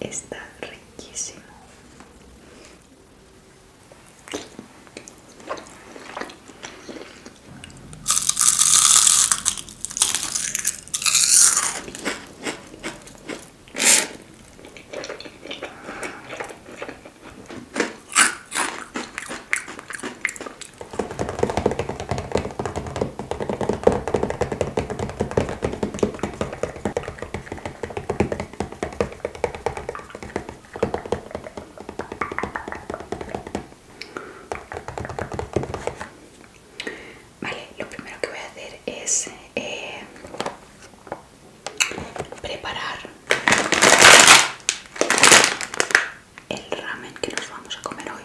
Está riquísimo. Vale, lo primero que voy a hacer es eh, preparar el ramen que nos vamos a comer hoy,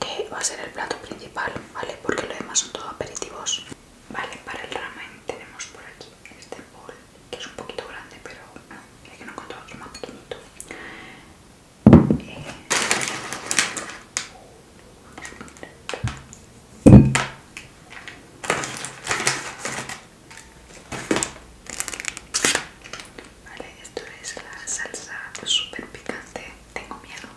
que va a ser el plato principal, ¿vale? Porque lo demás son todos aperitivos. Vale, para el ramen tenemos por aquí este bol, que es un poquito grande, pero no, ah, que no contarlo, otro más pequeñito. Eh, vale, esto es la salsa super picante. Tengo miedo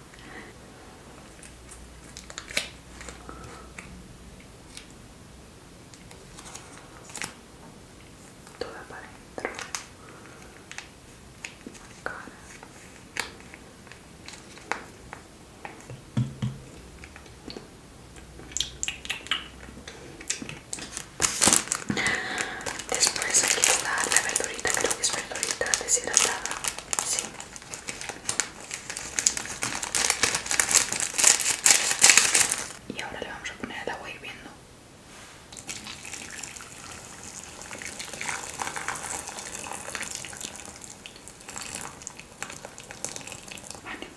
toda para adentro cara Después aquí está la verdurita, creo que es verdurita deshidratada, sí. Y ahora le vamos a poner el agua hirviendo. Vale,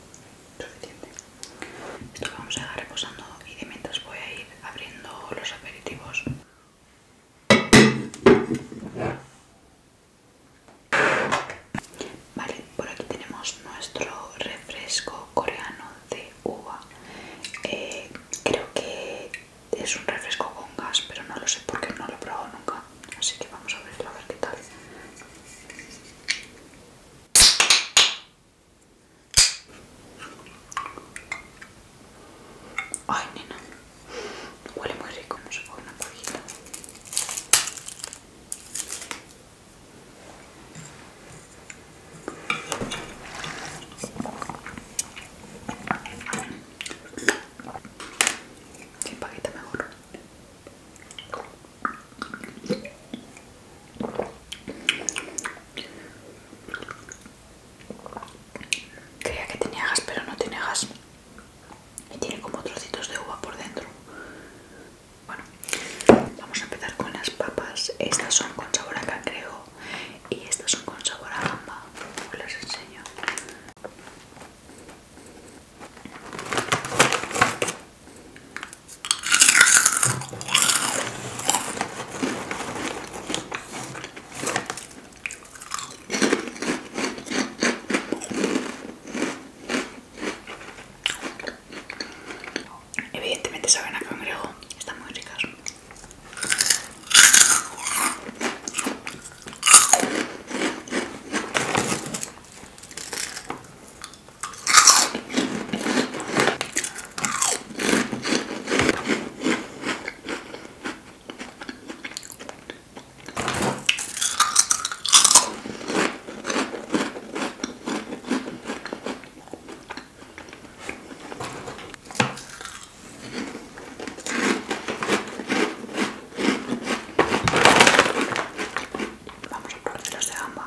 suficiente. Esto lo vamos a dejar reposando y de mientras voy a ir abriendo los aperitivos. Vale, por aquí tenemos nuestro refresco coreano de uva. Eh, creo que es un refresco con gas, pero no lo sé porque no lo he probado nunca. Así que vamos a abrirlo a ver qué tal. Ay, nena. Huele muy rico, vamos a coger una cojita. Sin paquita mejor. Creía que tenía gas, pero no tiene gas y tiene como trocitos de uva por dentro. Bueno, vamos a empezar con las papas. Estas son con sabor a cangrejo y estas son con sabor a gamba. Os las enseño. Evidentemente saben a cangrejo, están muy ricas. Vamos a probar los de gamba.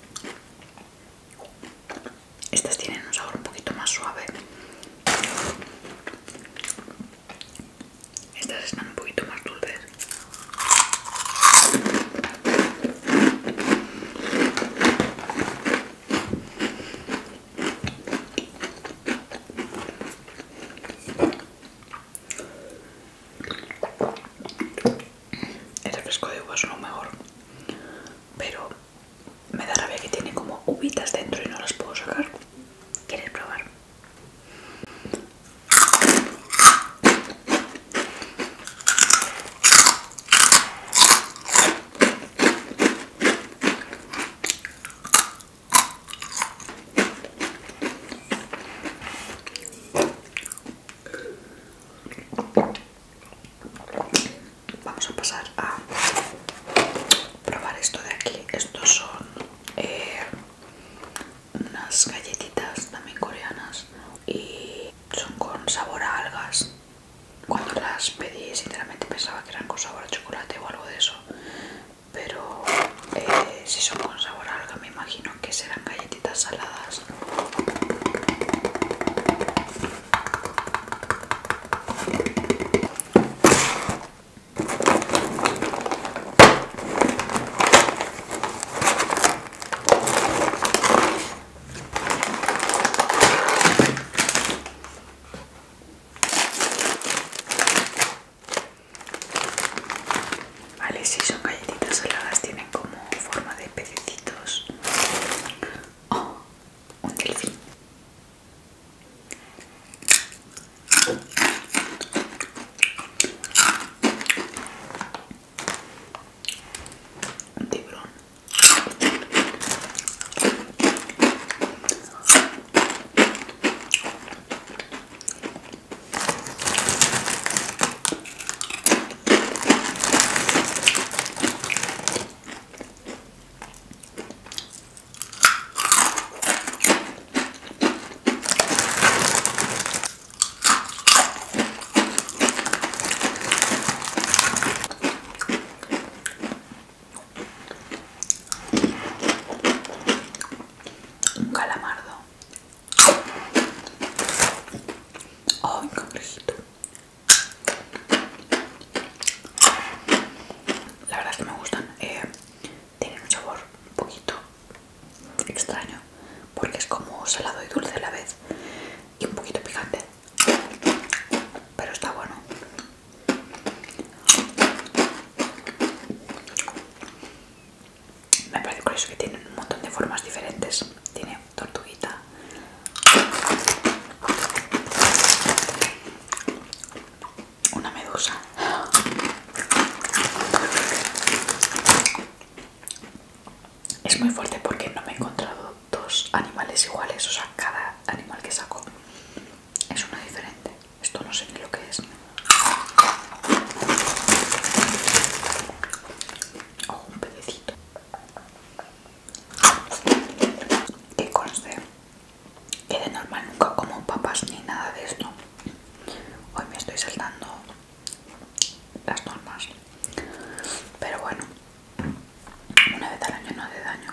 Estas tienen un sabor un poquito más suave. Estas están un poquito más dulces el refresco de uva es lo mejor, pero me da rabia que tiene como uvitas dentro y no las puedo sacar. ¿Quieres probar? Vamos a pasar a probar esto de aquí. Estos son eh, unas galletitas también coreanas y son con sabor a algas. Cuando las pedí, sinceramente pensaba que eran con sabor a chocolate o algo de eso. Pero eh, si son con sabor a algas me imagino que serán galletitas saladas. Vale, si son galletitas heladas tienen como forma de pececitos. Oh, un delfín. Un tiburón calamardo la verdad es que me gustan. Eh, tienen un sabor un poquito extraño. Porque es como salado y dulce a la vez. Y un poquito picante. Pero está bueno me parece curioso que tiene un montón de formas diferentes. Tiene tortuguita. Una medusa. Es muy fuerte porque no me he encontrado dos animales iguales, o sea, cada animal que saco es uno diferente. Esto no sé ni lo que es. Oh, un pedecito que conste que de normal nunca como papas ni nada de esto hoy me estoy saltando las normas pero bueno una vez al año no hace daño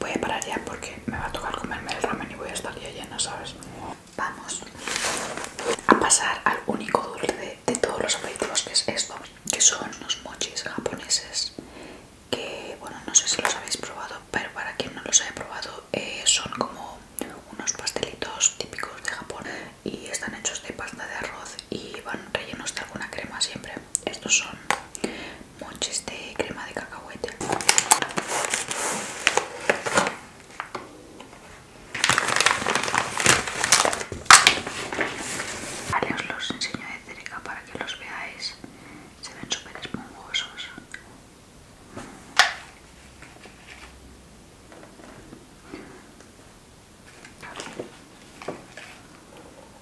Voy a parar ya porque me va a tocar comerme el ramen y voy a estar ya llena, ¿sabes? Vamos a pasar al único dulce de, todos los aperitivos que es esto que son los mochis japoneses que bueno no sé si los habéis probado pero para quien no los haya probado eh, son como unos pastelitos típicos de Japón y están hechos de pasta de arroz y van rellenos de alguna crema siempre estos son mochis de crema de cacahuete Vale, os los enseño de cerca para que los veáis. Se ven súper esponjosos.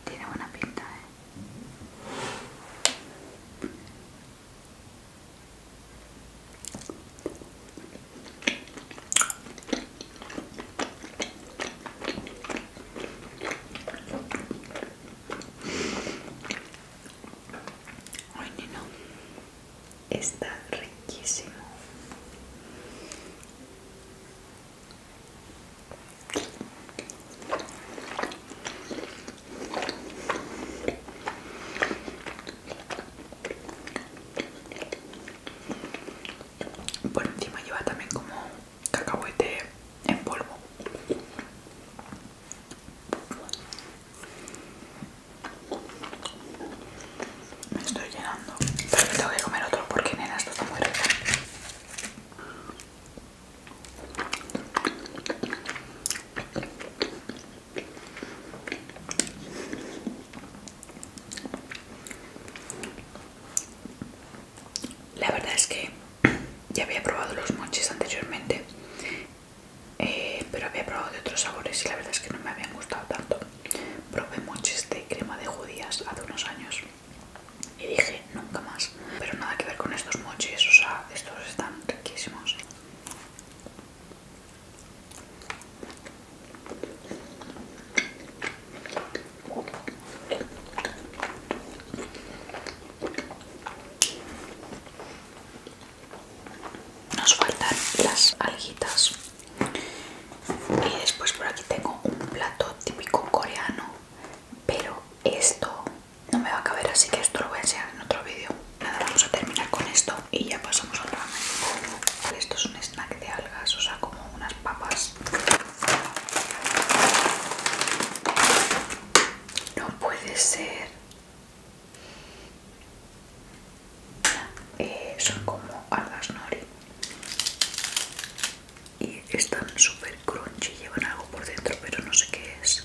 Tiene buena pinta, ¿eh? no, está riquísimo. Por encima lleva también como cacahuete en polvo. Me estoy llenando. tengo que comer otro porque nena esto está muy rico. La verdad es que ya había probado los mochis anteriormente, eh, pero había probado de otros sabores y la verdad es que no me habían gustado tanto. Probé mochis de crema de judías hace unos años y dije nunca más. Pero nada que ver con estos mochis, o sea, estos están riquísimos. Nos faltan las alguitas. Y después por aquí tengo un plato típico coreano, pero esto no me va a caber, así que esto lo voy a enseñar en otro vídeo. Nada, vamos a terminar con esto y ya pasamos al ramen. Esto es un snack de algas, o sea, como unas papas. No puede ser. Eh, son como algas nori. Y están súper crunchy, llevan algo por dentro, pero no sé qué es.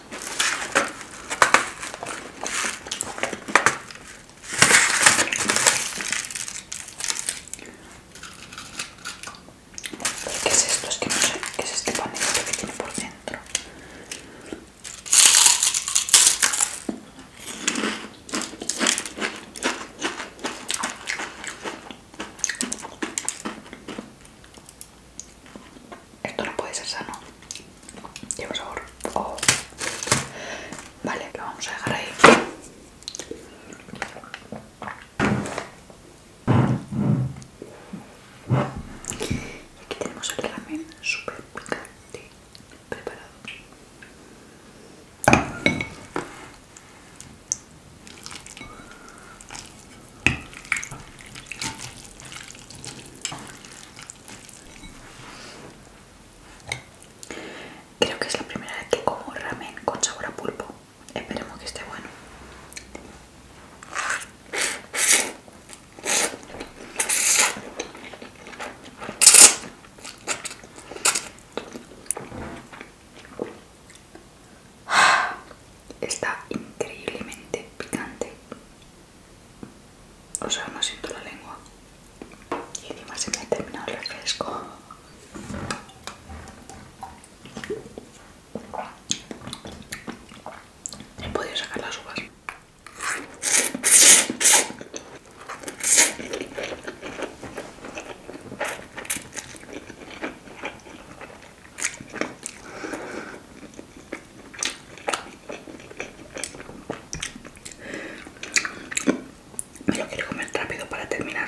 ¿Qué es esto? Es que no sé. ¿Qué es este panito que tiene por dentro? Esto no puede ser sano. Lleva sabor. Oh. Vale, lo vamos a dejar ahí. Y aquí tenemos el ramen super picante preparado. Creo que es la primera vez que como ramen con sabor a pulpo. Esperemos que esté bueno. Está increíblemente picante. O sea, no siento la lengua. Y encima se me ha terminado el refresco. He podido sacar las uvas. Me lo quiero comer rápido para terminar.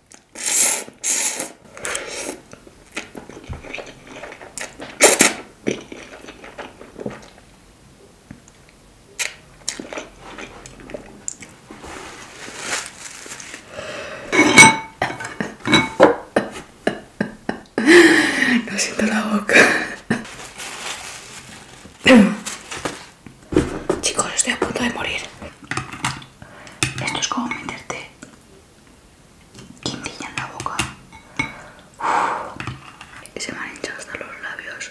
No siento la boca. Chicos, estoy a punto de morir. Esto es como meterte quintilla en la boca se me han hinchado hasta los labios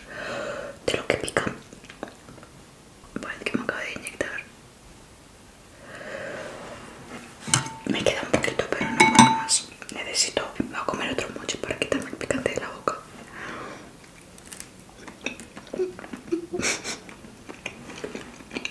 de lo que pica parece que me acabo de inyectar me queda un poquito pero no puedo más necesito, a comer otro mucho para quitarme el picante de la boca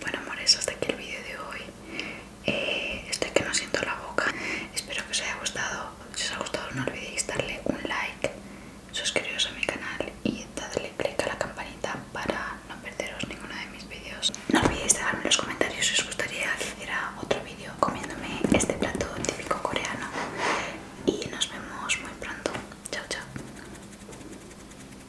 Bueno amores, hasta aquí el vídeo de hoy. Este estoy que no siento la boca. Espero que os haya gustado. Si os ha gustado no olvidéis darle un like, suscribiros a mi canal y darle click a la campanita para no perderos ninguno de mis vídeos. No olvidéis dejarme en los comentarios si os gustaría que hiciera otro vídeo comiéndome este plato típico coreano. Y nos vemos muy pronto. Chao, chao.